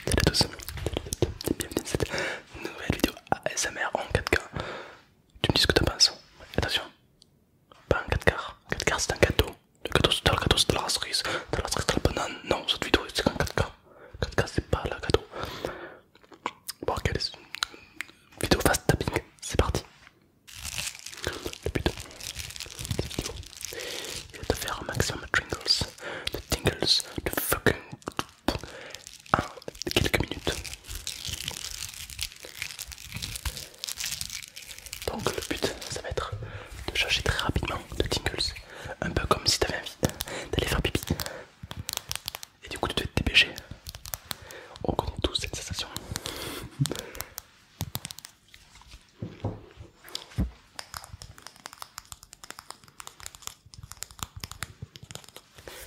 Salut à tous, bienvenue dans cette nouvelle vidéo ASMR en 4K. Tu me dis ce que tu penses. Attention, pas en 4K. 4K c'est un cadeau. Le cadeau, c'est le cadeau, c'est de la cerise, de la de la banane. Non, cette vidéo c'est en 4K. 4K c'est pas le cadeau. Bon, ok, vidéo fast tapping, c'est parti le but de cette vidéo faire un maximum de tingles, de tingles, de fucking en quelques minutes. Donc le but ça va être de changer très rapidement de tingles, un peu comme si t'avais envie d'aller faire pipi et du coup tu te dépêcher. On connaît tous cette sensation.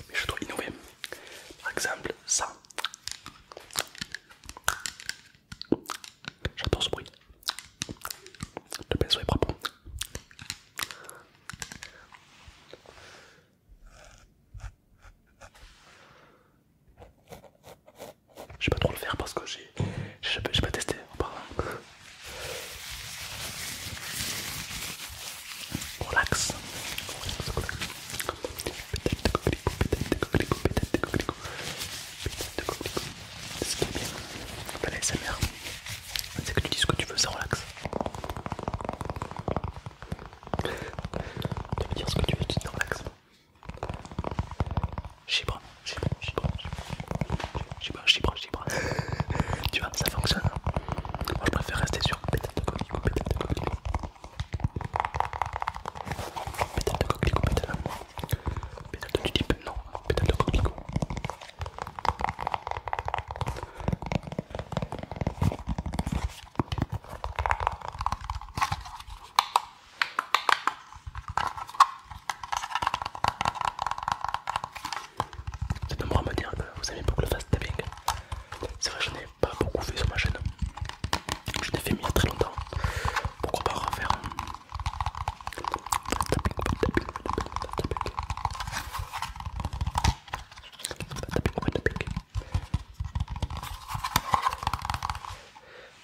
Mais je dois innover. Par exemple, ça. J'adore ce bruit. Le pinceau est propre. Je vais pas trop le faire parce que j'ai pas testé de c'est Ce qui est bien dans c'est que tu dis ce que tu veux, ça relax. Tu peux dire ce que tu veux, tu te relax Chibre, chibre, chibre, chibre, chibre, chibre. Tu vois, ça fonctionne. Hein. Moi je préfère rester sur pétale de coquelicot, pétale de coquelicot. Pétale de coquelicot, pétale. Pétale de tulipe, non, pétale de coquelicot faites à me dire vous aimez beaucoup le fast tapping. C'est vrai, je n'ai pas beaucoup fait sur ma chaîne. Je l'ai fait il y a très longtemps. Pourquoi pas refaire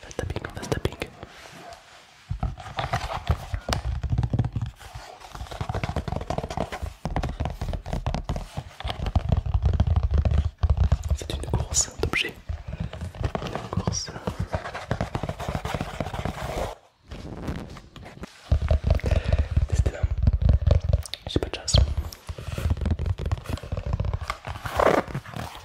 Fast tapping, fast tapping. C'est une course d'objets. Une course. Décidément, j'ai pas de chance.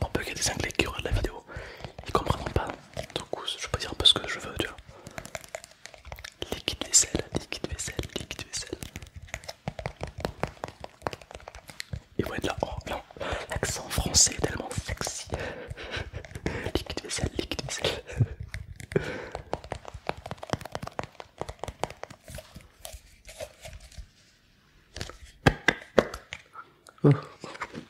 pour peut qu'il y ait des anglais qui regardent la vidéo, ils comprendront pas. Donc je peux dire un peu ce que je veux, tu vois. Liquide vaisselle, liquide vaisselle, liquide vaisselle. Et être là, oh non, l'accent français est tellement sexy. liquide vaisselle, liquide vaisselle. oh.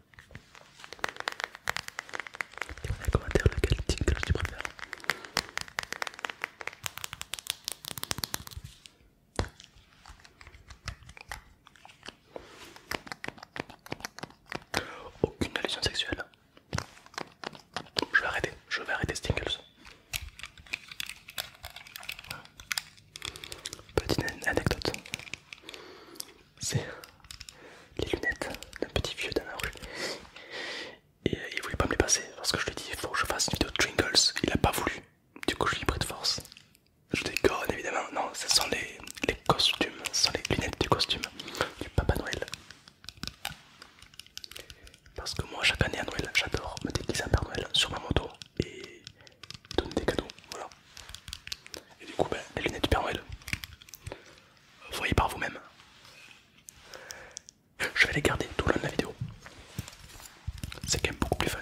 Dis-moi dans les commentaires lequel tingles tu préfères. Aucune allusion sexuelle. Je vais arrêter, je vais arrêter Stingles. Petite anecdote c'est les lunettes d'un petit vieux d'un la rue. Et euh, il voulait pas me les passer parce que je lui ai dit il faut que je fasse une vidéo de Jingles. Il a pas voulu. Du coup, je ai pris de force. Je déconne évidemment. Non, ce sont les, costumes, ce sont les lunettes du costume du Papa Noël. Parce que moi, chaque année à Noël, j'adore me déguiser en Père Noël sur ma moto et donner des cadeaux. Voilà. Et du coup, ben, les lunettes du Père Noël, voyez par vous-même. Je vais les garder tout le long de la vidéo. C'est quand même beaucoup plus fun.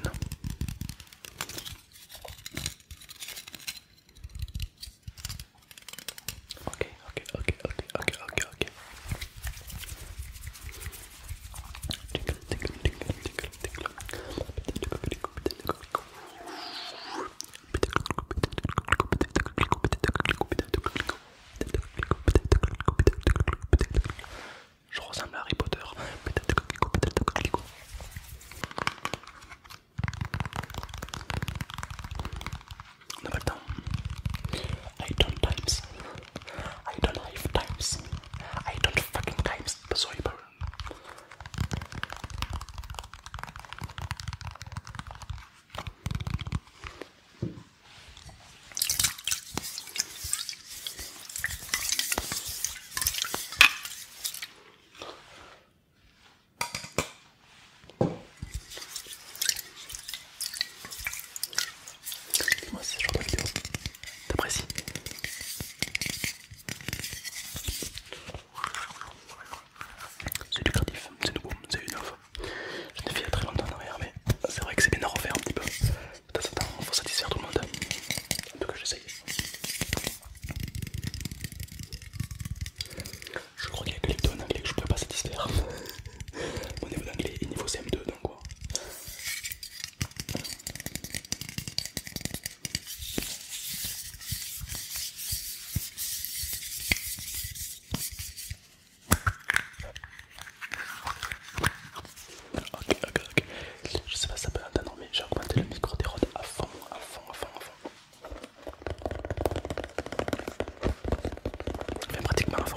ok, ok, ok, ok, ok, ok. I don't times. I don't have times. I don't fucking times. Sorry, Paris. Dis-moi si ce de vidéo t'apprécies. C'est lucratif, c'est nouveau, c'est une offre. Je l'ai fait il y a très longtemps en arrière, mais c'est vrai que c'est bien à refaire un petit peu. De temps en temps, il faut satisfaire tout le monde. un peu que j'essaye. Je crois qu'il y a que les deux en anglais que je ne peux pas satisfaire. Mon niveau d'anglais est niveau CM2, donc quoi. Ok, ok, ok. Je sais pas si ça peut entendre, mais j'ai augmenté le micro des rods à fond, à fond, à fond, à fond. Mais pratiquement à fond.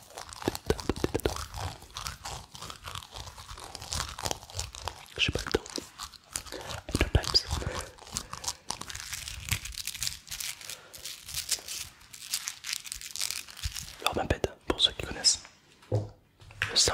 J'ai pas le temps. Le peps. bête pour ceux qui connaissent. Le sang.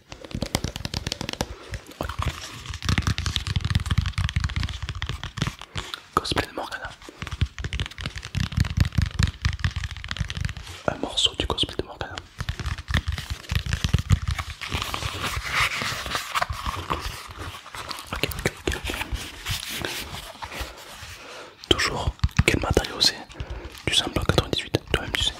Cosplay de Morgana. Un morceau du cosplay de Morgana. Toujours, quel matériau c'est Du simple 98, toi-même tu sais.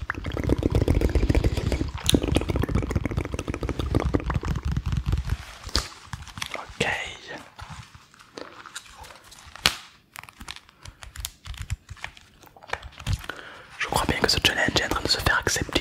Ok. Je crois bien que ce challenge est en train de se faire accepter.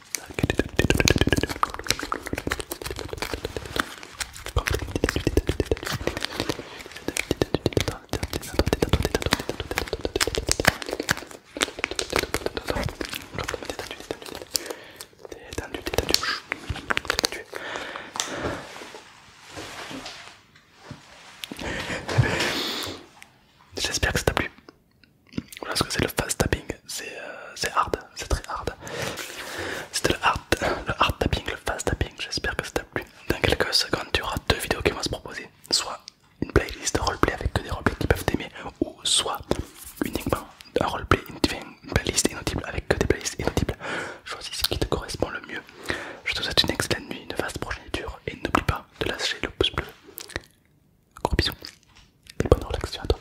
J'espère que ça t'a plu. Voilà ce que c'est le fast tapping. Euh, c'est hard, c'est très hard. C'était le hard, le hard tapping, le fast tapping, j'espère que ça t'a plu. Dans quelques secondes, tu auras deux vidéos qui vont se proposer, soit une playlist de roleplay avec que des roleplays qui peuvent t'aimer, ou soit uniquement un roleplay, une playlist inaudible avec que des playlists inaudibles. Choisis ce qui te correspond le mieux. Je te souhaite une excellente nuit, une vaste progéniture et n'oublie pas de lâcher le pouce bleu. Gros bisous bonne relaxation à toi.